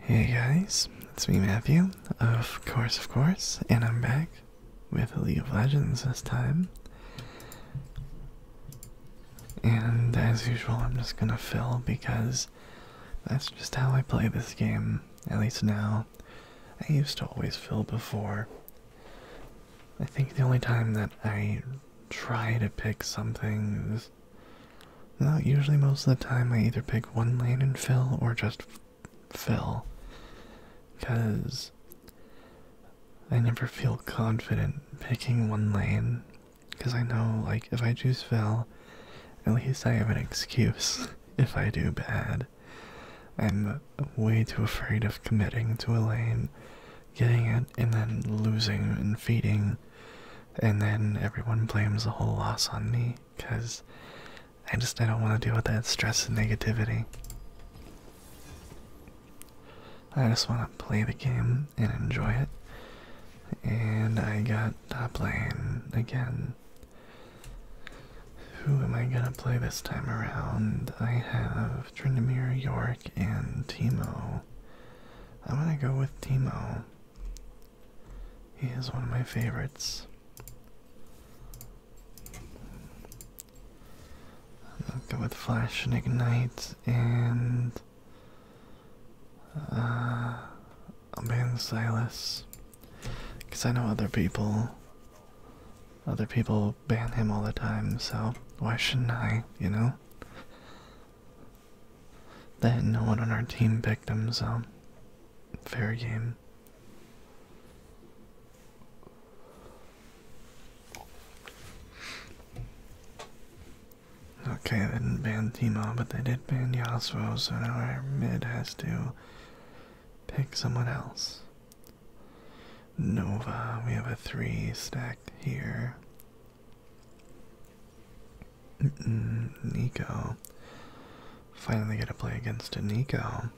Hey guys, it's me Matthew, of course, of course, and I'm back with League of Legends this time. And as usual, I'm just gonna fill because that's just how I play this game, at least now. I used to always fill before. I think the only time that I try to pick something this. usually most of the time I either pick one lane and fill or just fill. Because I never feel confident picking one lane. Because I know, like, if I choose fill, at least I have an excuse if I do bad. I'm way too afraid of committing to a lane, getting it, and then losing and feeding and then everyone blames the whole loss on me because I just I don't want to deal with that stress and negativity. I just want to play the game and enjoy it. And I got top lane again. Who am I gonna play this time around? I have Trindamere, York, and Timo. I'm gonna go with Timo. He is one of my favorites. I'll am go with Flash and Ignite and uh, ban Silas. Because I know other people, other people ban him all the time, so why shouldn't I, you know? Then no one on our team picked them, so fair game. Okay, they didn't ban Teemo, but they did ban Yasuo, so now our mid has to pick someone else. Nova, we have a three stack here. Mm, Nico. Finally get to play against a Nico.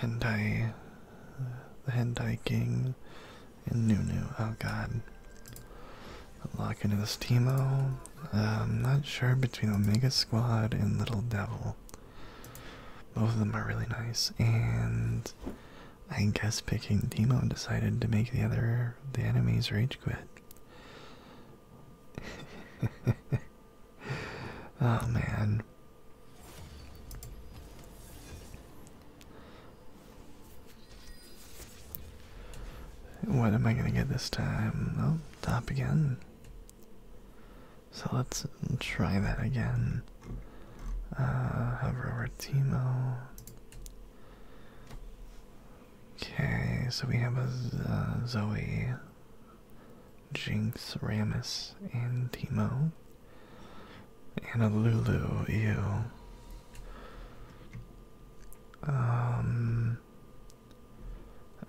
Hentai, uh, uh, the Hentai King, and Nunu. Oh god. Locking into this Teemo. Uh, I'm not sure between Omega Squad and Little Devil. Both of them are really nice, and I guess picking Teemo decided to make the other the enemies rage quit. oh man. What am I going to get this time? Oh, top again. So let's try that again. Uh, hover over Teemo. Okay, so we have a uh, Zoe. Jinx, Ramus, and Timo. And a Lulu, ew. Um,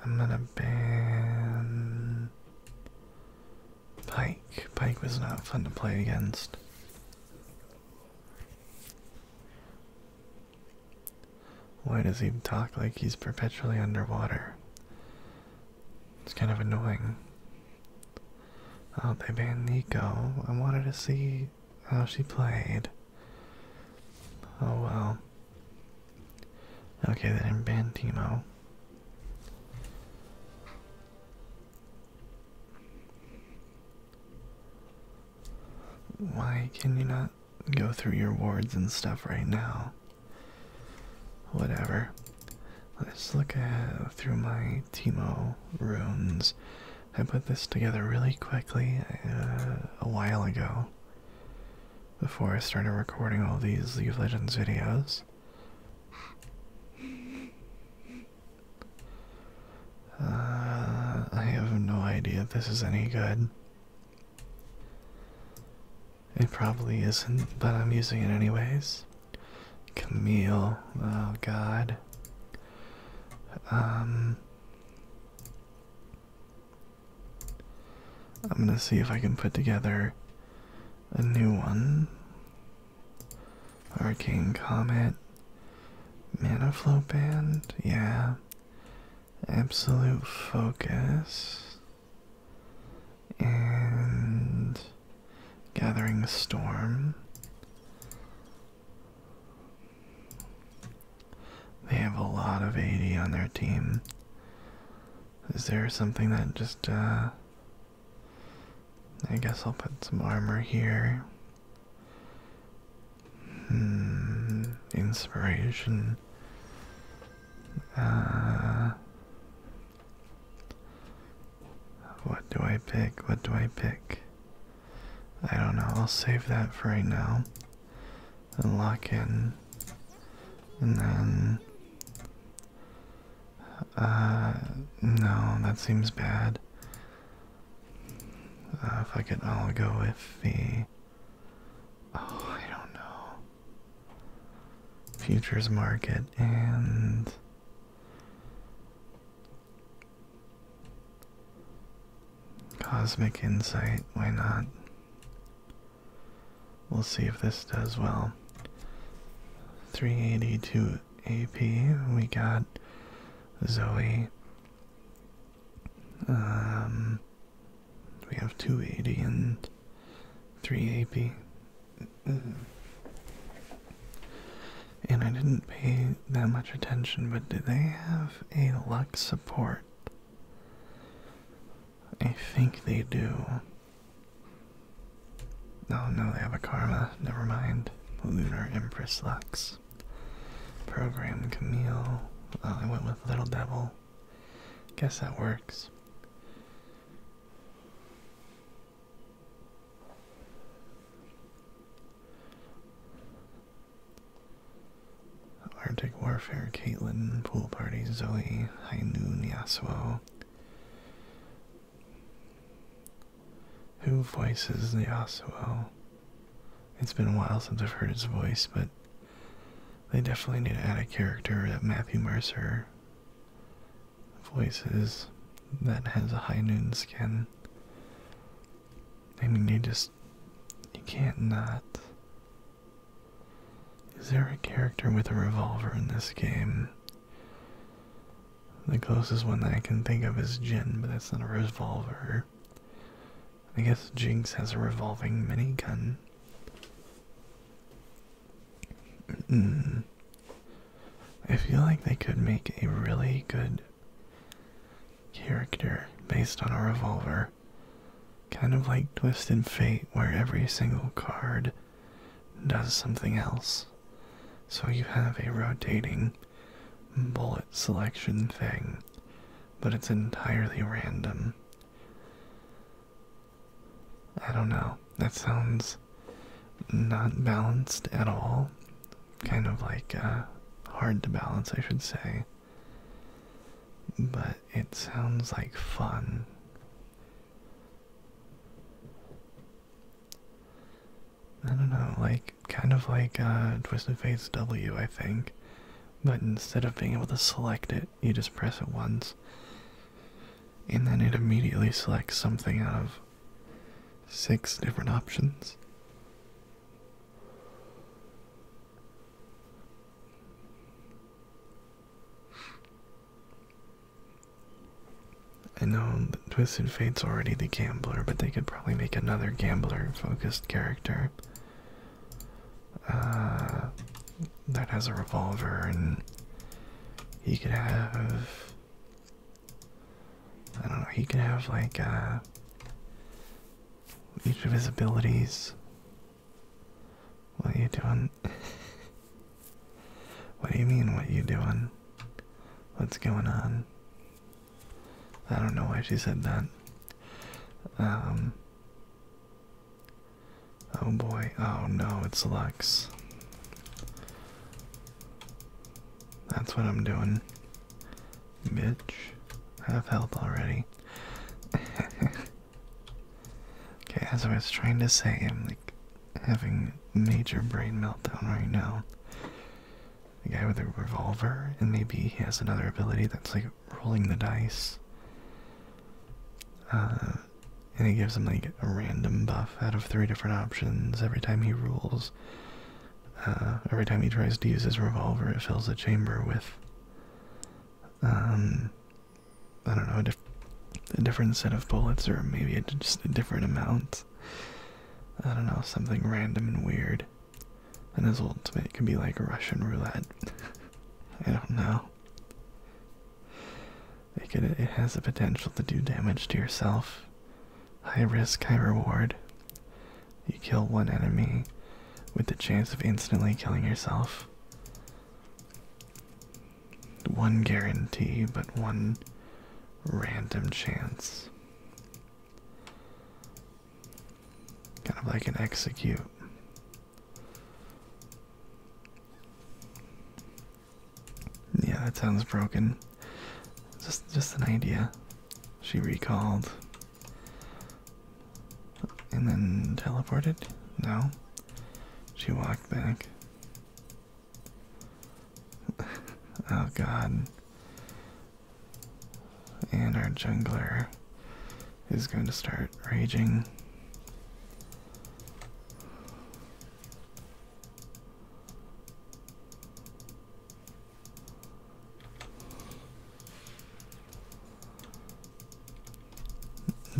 I'm gonna ban Pike. Pike was not fun to play against. Why does he talk like he's perpetually underwater? It's kind of annoying. Oh, they banned Nico. I wanted to see how she played. Oh well. Okay, then I'm ban Timo. Why can you not go through your wards and stuff right now? Whatever. Let's look through my Timo runes. I put this together really quickly uh, a while ago before I started recording all these League of Legends videos. Uh, I have no idea if this is any good. It probably isn't, but I'm using it anyways. Camille, oh god. Um, I'm gonna see if I can put together a new one. Arcane Comet, Mana Flow Band, yeah. Absolute Focus and Gathering Storm. They have a lot of 80 on their team. Is there something that just, uh, I guess I'll put some armor here. Hmm. Inspiration. Uh. What do I pick? What do I pick? I don't know. I'll save that for right now and lock in. And then. Uh, no, that seems bad. Uh, if I could, I'll go with the. Oh, I don't know. Futures market and Cosmic Insight, why not? We'll see if this does well. 382 AP, we got Zoe. Um, we have 280 and 3 AP. Mm-hmm. And I didn't pay that much attention, but do they have a luck support? I think they do. Oh no, they have a karma. Never mind. Lunar Empress Lux. Program Camille. I went with Little Devil. Guess that works. Arctic Warfare, Caitlin, Pool Party, Zoe, Hainu, Nyasuo. Who voices Nyasuo? It's been a while since I've heard his voice, but they definitely need to add a character that uh, Matthew Mercer voices that has a high noon skin. I mean, you just you can't not. Is there a character with a revolver in this game? The closest one that I can think of is Jin, but that's not a revolver. I guess Jinx has a revolving mini gun. Mm. I feel like they could make a really good character based on a revolver. Kind of like Twisted Fate, where every single card does something else. So you have a rotating bullet selection thing, but it's entirely random. I don't know. That sounds not balanced at all. Kind of like uh, hard to balance, I should say. But it sounds like fun. I don't know, like kind of like uh, Twisted Fates W, I think. But instead of being able to select it, you just press it once and then it immediately selects something out of six different options. I know that Twisted Fate's already the gambler, but they could probably make another gambler-focused character uh, that has a revolver, and he could have I don't know, he could have like uh, each of his abilities. What are you doing? what do you mean what are you doing? What's going on? I don't know why she said that. Um Oh boy. Oh no, it's Lux. That's what I'm doing. Bitch, have help already. okay, as I was trying to say, I'm like having major brain meltdown right now. The guy with a revolver, and maybe he has another ability that's like rolling the dice. Uh, and he gives him like a random buff out of three different options every time he rules. Uh, every time he tries to use his revolver, it fills the chamber with, um, I don't know, a, different set of bullets or maybe just a different amount. I don't know, something random and weird. And his ultimate can be like Russian roulette. I don't know it has the potential to do damage to yourself. High risk, high reward. You kill one enemy with the chance of instantly killing yourself. One guarantee, but one random chance. Kind of like an execute. Yeah, that sounds broken. Just just an idea. She recalled. And then teleported? No. She walked back. oh god. And our jungler is going to start raging.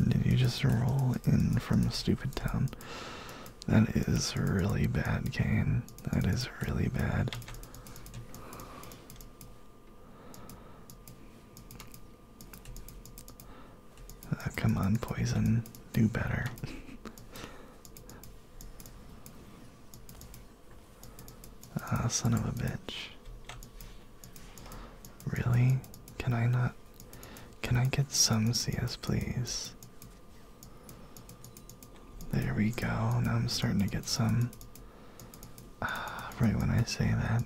Did you just roll in from Stupid Town? That is really bad, Kane. That is really bad. Uh, come on, Poison. Do better. Ah, son of a bitch. Really? Can I not? Can I get some CS, please? There we go. Now I'm starting to get some. Ah, right when I say that.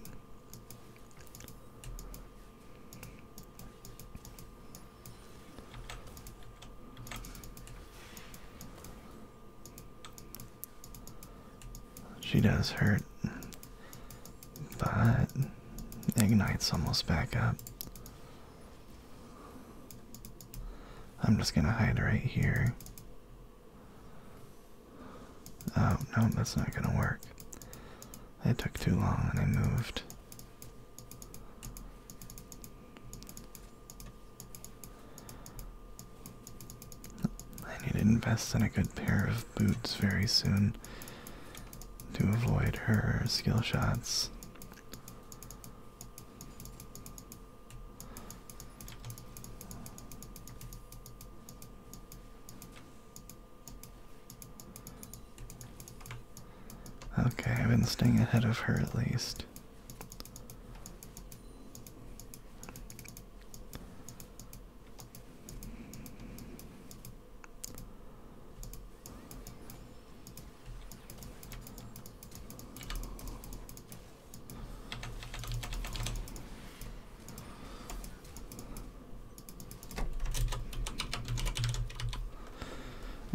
She does hurt, but Ignite's almost back up. I'm just gonna hide right here. Oh, no, that's not gonna work. It took too long and I moved. I need to invest in a good pair of boots very soon to avoid her skill shots. Okay, I've been staying ahead of her at least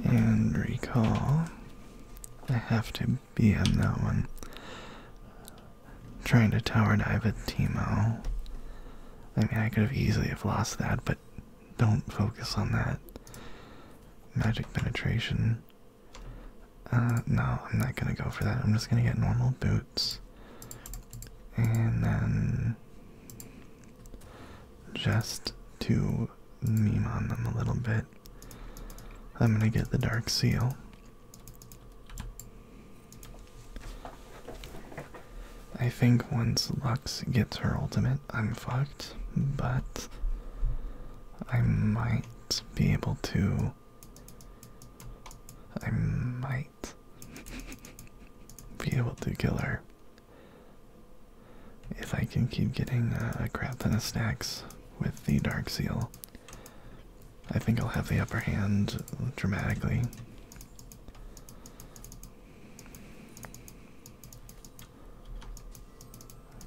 and recall. I have to be on that one. Trying to tower dive at Timo. I mean, I could have easily have lost that, but don't focus on that. Magic penetration. Uh, no, I'm not gonna go for that. I'm just gonna get normal boots. And then just to meme on them a little bit. I'm gonna get the Dark Seal. I think once Lux gets her ultimate, I'm fucked, but I might be able to. I might be able to kill her. If I can keep getting uh, a crap ton of stacks with the Dark Seal, I think I'll have the upper hand dramatically.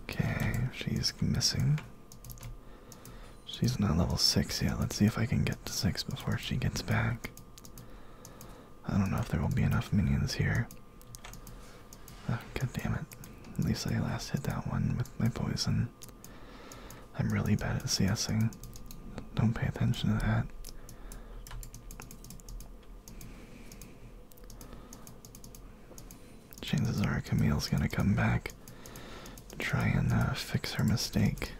Okay, she's missing. She's not level 6 yet. Let's see if I can get to 6 before she gets back. I don't know if there will be enough minions here. Ah, God damn it. At least I last hit that one with my poison. I'm really bad at CSing. Don't pay attention to that. Chances are Camille's gonna come back try and uh, fix her mistake.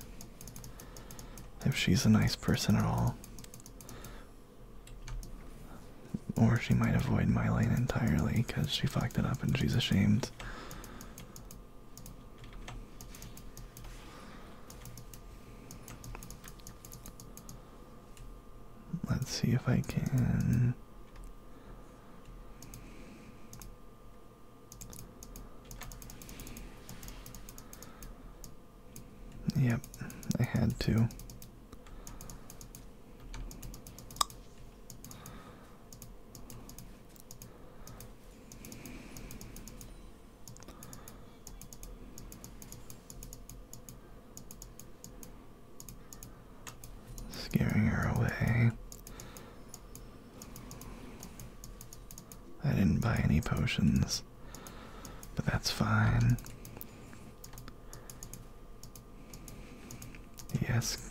If she's a nice person at all, or she might avoid my lane entirely because she fucked it up and she's ashamed. Let's see if I can. Yep, I had to. Scaring her away. I didn't buy any potions, but that's fine. Yes.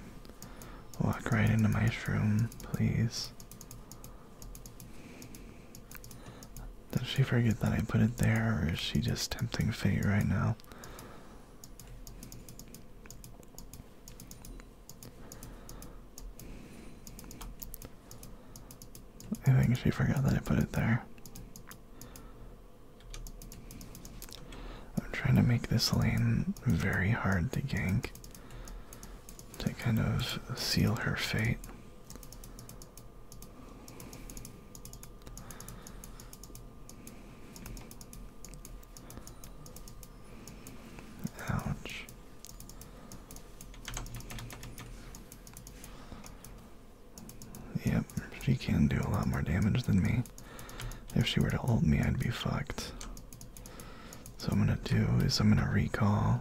Walk right into my room, please. Did she forget that I put it there, or is she just tempting fate right now? I think she forgot that I put it there. I'm trying to make this lane very hard to gank to kind of seal her fate. Ouch. Yep, she can do a lot more damage than me. If she were to hold me, I'd be fucked. So I'm gonna do is I'm gonna recall.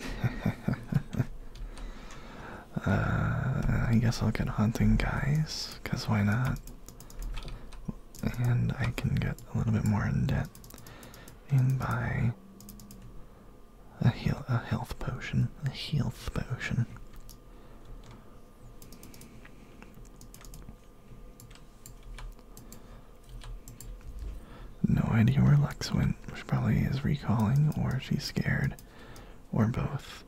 Uh, I guess I'll get hunting guys, cause why not? And I can get a little bit more in debt in buy. A heal, a health potion, a health potion. No idea where Lex went. She probably is recalling, or she's scared, or both.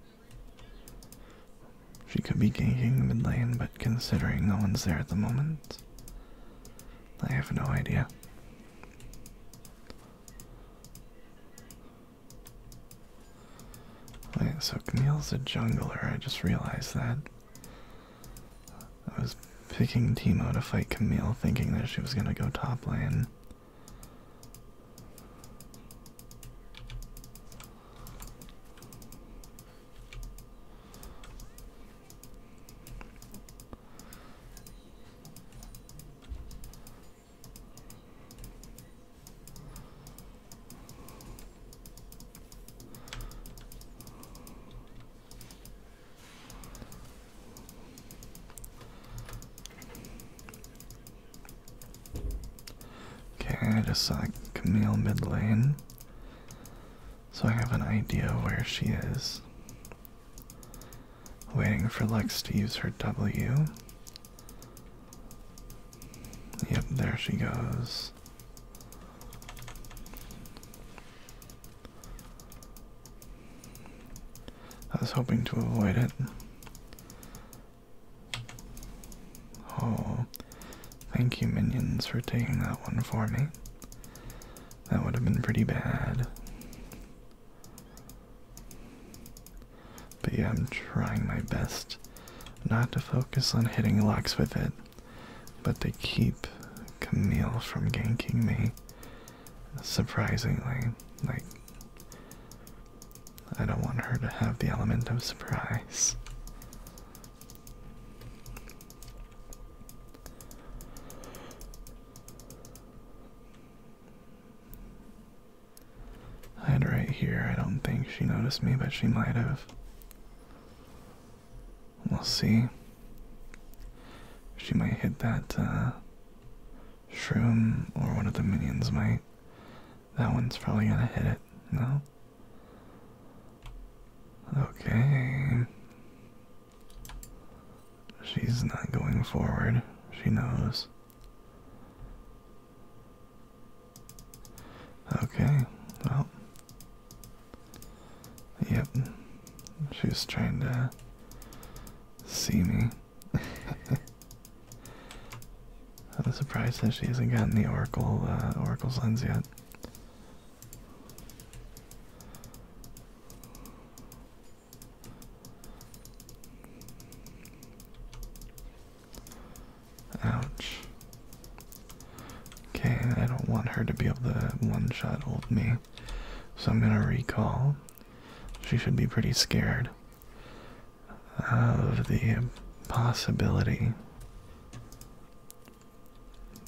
She could be ganking the mid lane, but considering no one's there at the moment, I have no idea so Camille's a jungler, I just realized that. I was picking Teemo to fight Camille, thinking that she was gonna go top lane. Okay, I just saw Camille mid lane, so I have an idea where she is. Waiting for Lex to use her W. Yep, there she goes. I was hoping to avoid it. Oh, thank you, minions, for taking that one for me. That would have been pretty bad. But yeah, I'm trying my best not to focus on hitting locks with it, but to keep Camille from ganking me. Surprisingly, like, I don't want her to have the element of surprise i Hide right here. I don't think she noticed me, but she might have. We'll see. She might hit that uh, shroom, or one of the minions might. That one's probably gonna hit it, no? Okay. She's not going forward. She knows. Okay, well. Yep. She's trying to see me. I'm surprised that she hasn't gotten the Oracle uh, Oracle's lens yet. Ouch. Okay, I don't want her to be able to one-shot old me. So I'm gonna recall. She should be pretty scared of the possibility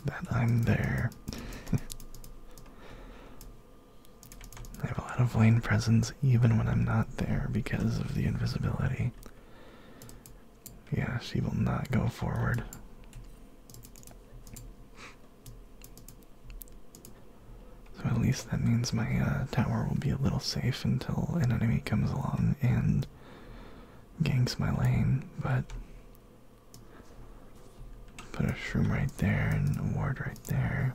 that I'm there. I have a lot of lane presence even when I'm not there because of the invisibility. Yeah, she will not go forward. So at least that means my uh, tower will be a little safe until an enemy comes along and ganks my lane, but put a shroom right there and a ward right there.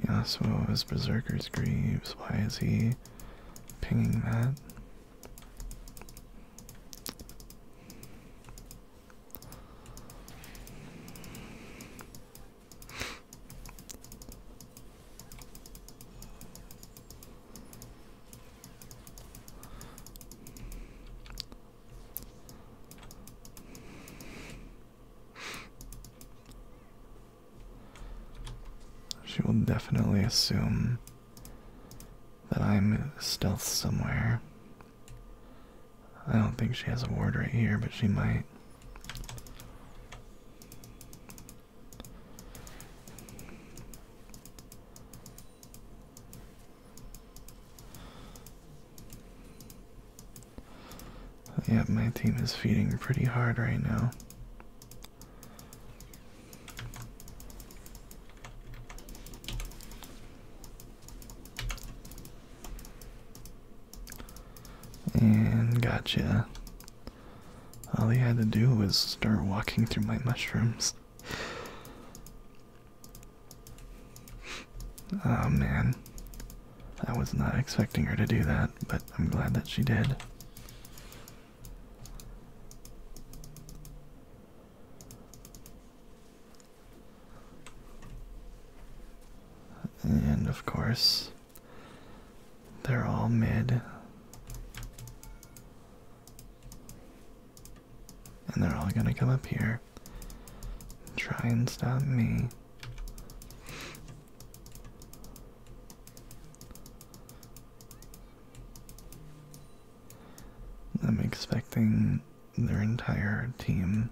Yasuo is Berserker's Greaves. Why is he pinging that? She will definitely assume that I'm stealth somewhere. I don't think she has a ward right here, but she might. Yeah, my team is feeding pretty hard right now. And gotcha. All he had to do was start walking through my mushrooms. Oh man. I was not expecting her to do that, but I'm glad that she did. And of course, they're all mid. And they're all gonna come up here. Try and stop me. I'm expecting their entire team.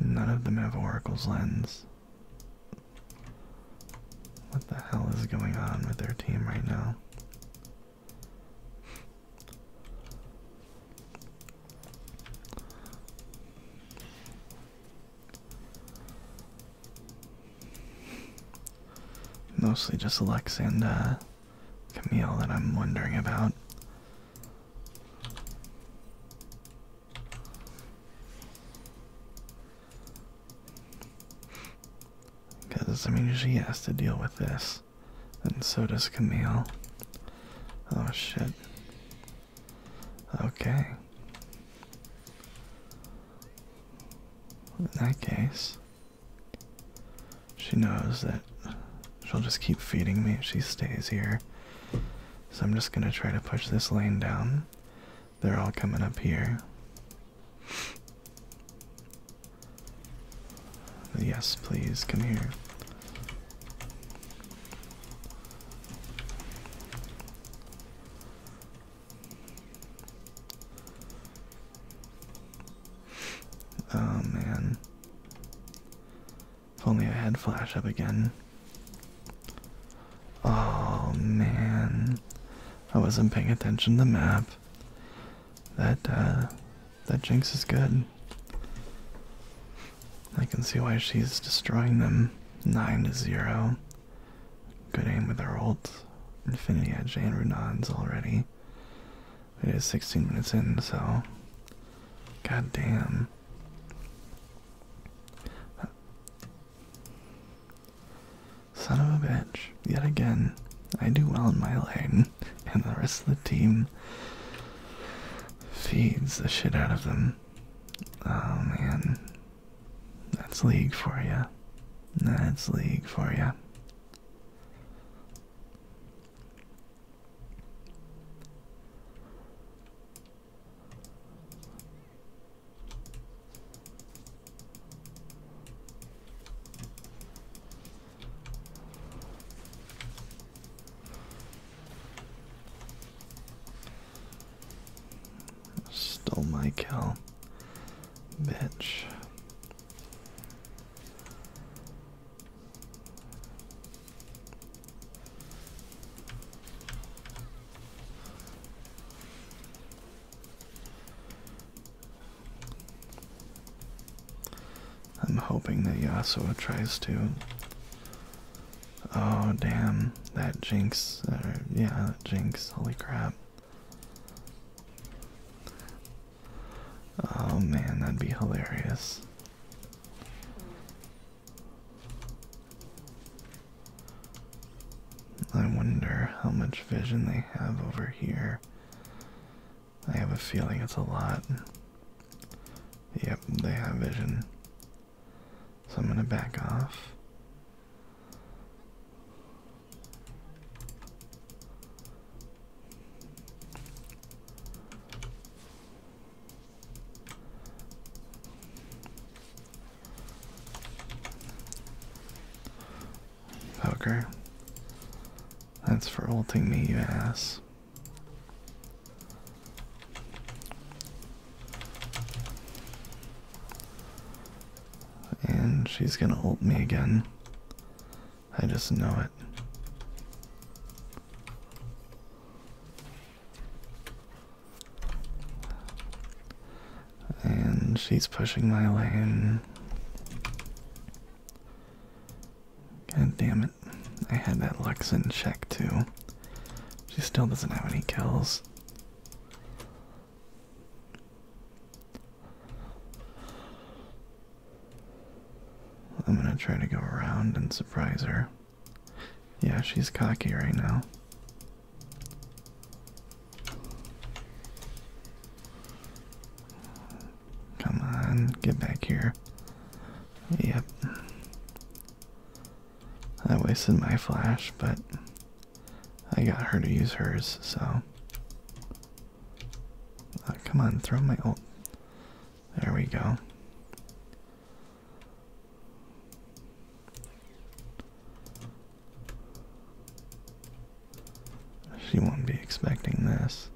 None of them have Oracle's lens. What the hell is going on with their team right now? Mostly just Lex Camille that I'm wondering about. Because, I mean, she has to deal with this. And so does Camille. Oh, shit. Okay. In that case, she knows that she'll just keep feeding me if she stays here. So I'm just gonna try to push this lane down. They're all coming up here. Yes, please, come here. Oh man. If only I had flash up again. Oh man. I wasn't paying attention to the map. That uh, that jinx is good. I can see why she's destroying them. Nine to zero. Good aim with her ult. Infinity Edge and Runans already. We It is 16 minutes in, so. God damn. Son of a bitch. Yet again, I do well in my lane, and the rest of the team feeds the shit out of them. Oh man. That's league for you. That's league for you. Stole my cow, bitch. I'm hoping that Yasuo tries to. Oh damn, that jinx, yeah, that jinx, holy crap. Oh man, that'd be hilarious. I wonder how much vision they have over here. I have a feeling it's a lot. Yep, they have vision. So I'm going to back off. Poker. That's for holding me, you ass. And she's gonna hold me again. I just know it. And she's pushing my lane. God damn it. I had that Lux in check too. She still doesn't have any kills. I'm gonna try to go around and surprise her. Yeah, she's cocky right now. Come on, get back here. Yep. I wasted my flash, but I got her to use hers, so. Uh, come on, throw my old. There we go. She won't be expecting this.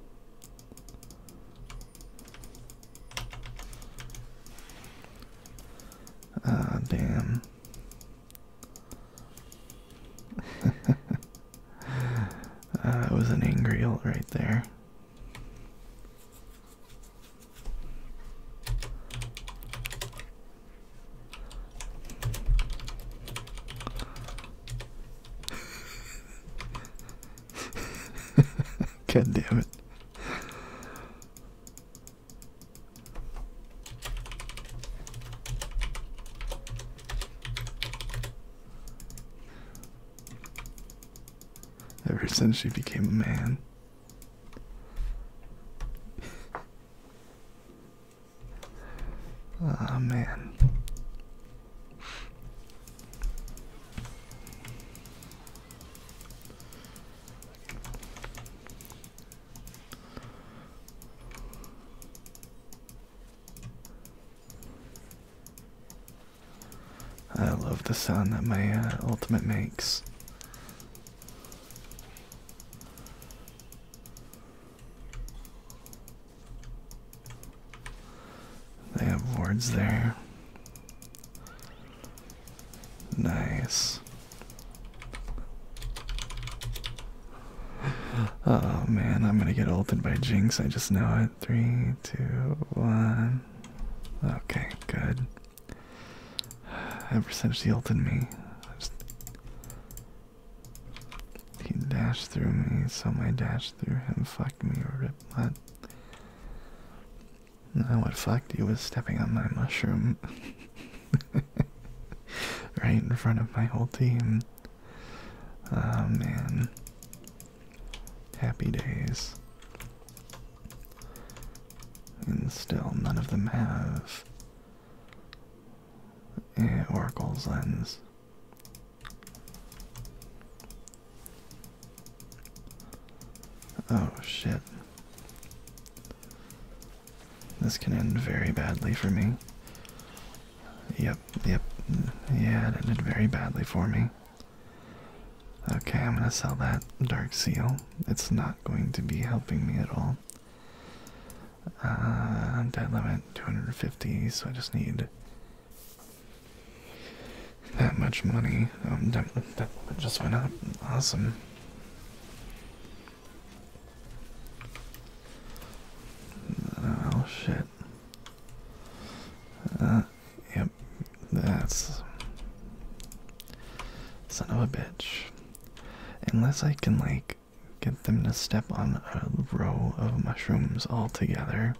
Ah, damn. That ah, was an angry ult right there. God damn it ever since she became a man. Ah, man. I love the sound that my uh, ultimate makes. They have wards there. Nice. Oh man, I'm gonna get ulted by Jinx, I just know it. Three, two, one. Okay, good. Ever since he ulted me, he dashed through me, so my dash through him Fuck me, rip butt. Now what Fuck, you was stepping on my mushroom. right in front of my whole team. Oh man happy days. And still, none of them have Oracle's Lens. Oh shit. This can end very badly for me. Yep, yep, yeah, it ended very badly for me. Okay, I'm gonna sell that dark seal. It's not going to be helping me at all. Uh, dead limit 250, so I just need that much money. Um, that, that just went up. Awesome. Oh shit. Uh, Yep, that's son of a bitch. Unless I can like get them to step on a row of mushrooms all together,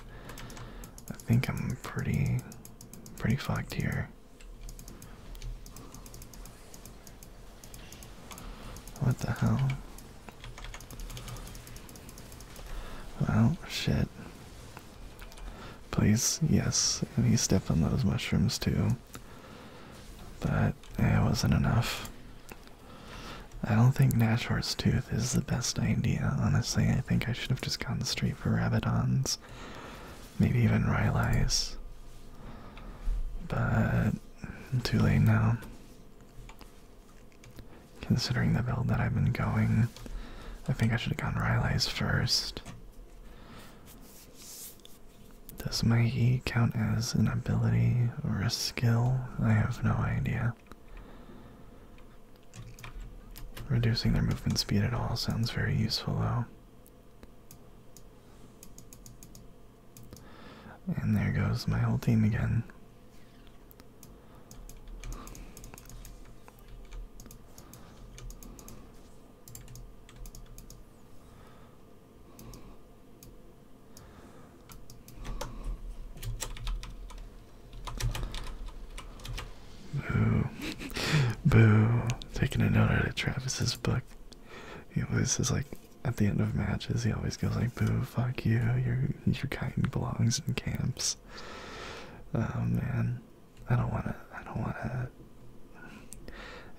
I think I'm pretty, pretty fucked here. What the hell? Well, shit. Please, yes, and he stepped on those mushrooms too. But it wasn't enough. I don't think Nashor's tooth is the best idea, honestly. I think I should have just gone straight for Rabidons. Maybe even Rylai's. But too late now. Considering the build that I've been going, I think I should have gotten Rylai's first. Does my E count as an ability or a skill? I have no idea. Reducing their movement speed at all sounds very useful though. And there goes my whole team again. Boo. Boo. Taking a note out of Travis's book. He always is like, at the end of matches, he always goes like, boo, fuck you, your, your kind belongs in camps. Oh man. I don't wanna. I don't wanna.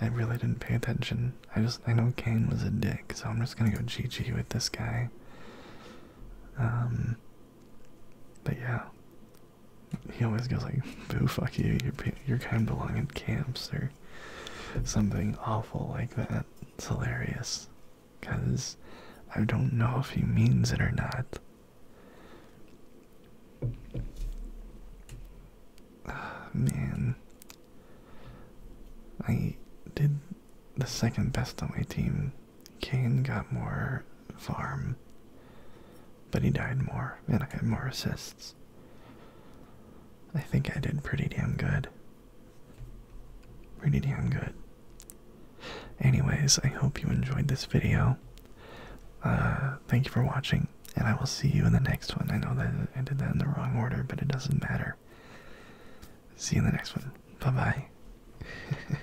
I really didn't pay attention. I just. I know Kane was a dick, so I'm just gonna go GG with this guy. Um. But yeah. He always goes like, "Boo, fuck you! you're kind belong in camps or something awful like that." It's hilarious, cause I don't know if he means it or not. Ah, man, I did the second best on my team. Kane got more farm, but he died more, and I got more assists. I think I did pretty damn good. Pretty damn good. Anyways, I hope you enjoyed this video. Uh, thank you for watching, and I will see you in the next one. I know that I did that in the wrong order, but it doesn't matter. See you in the next one. Bye bye.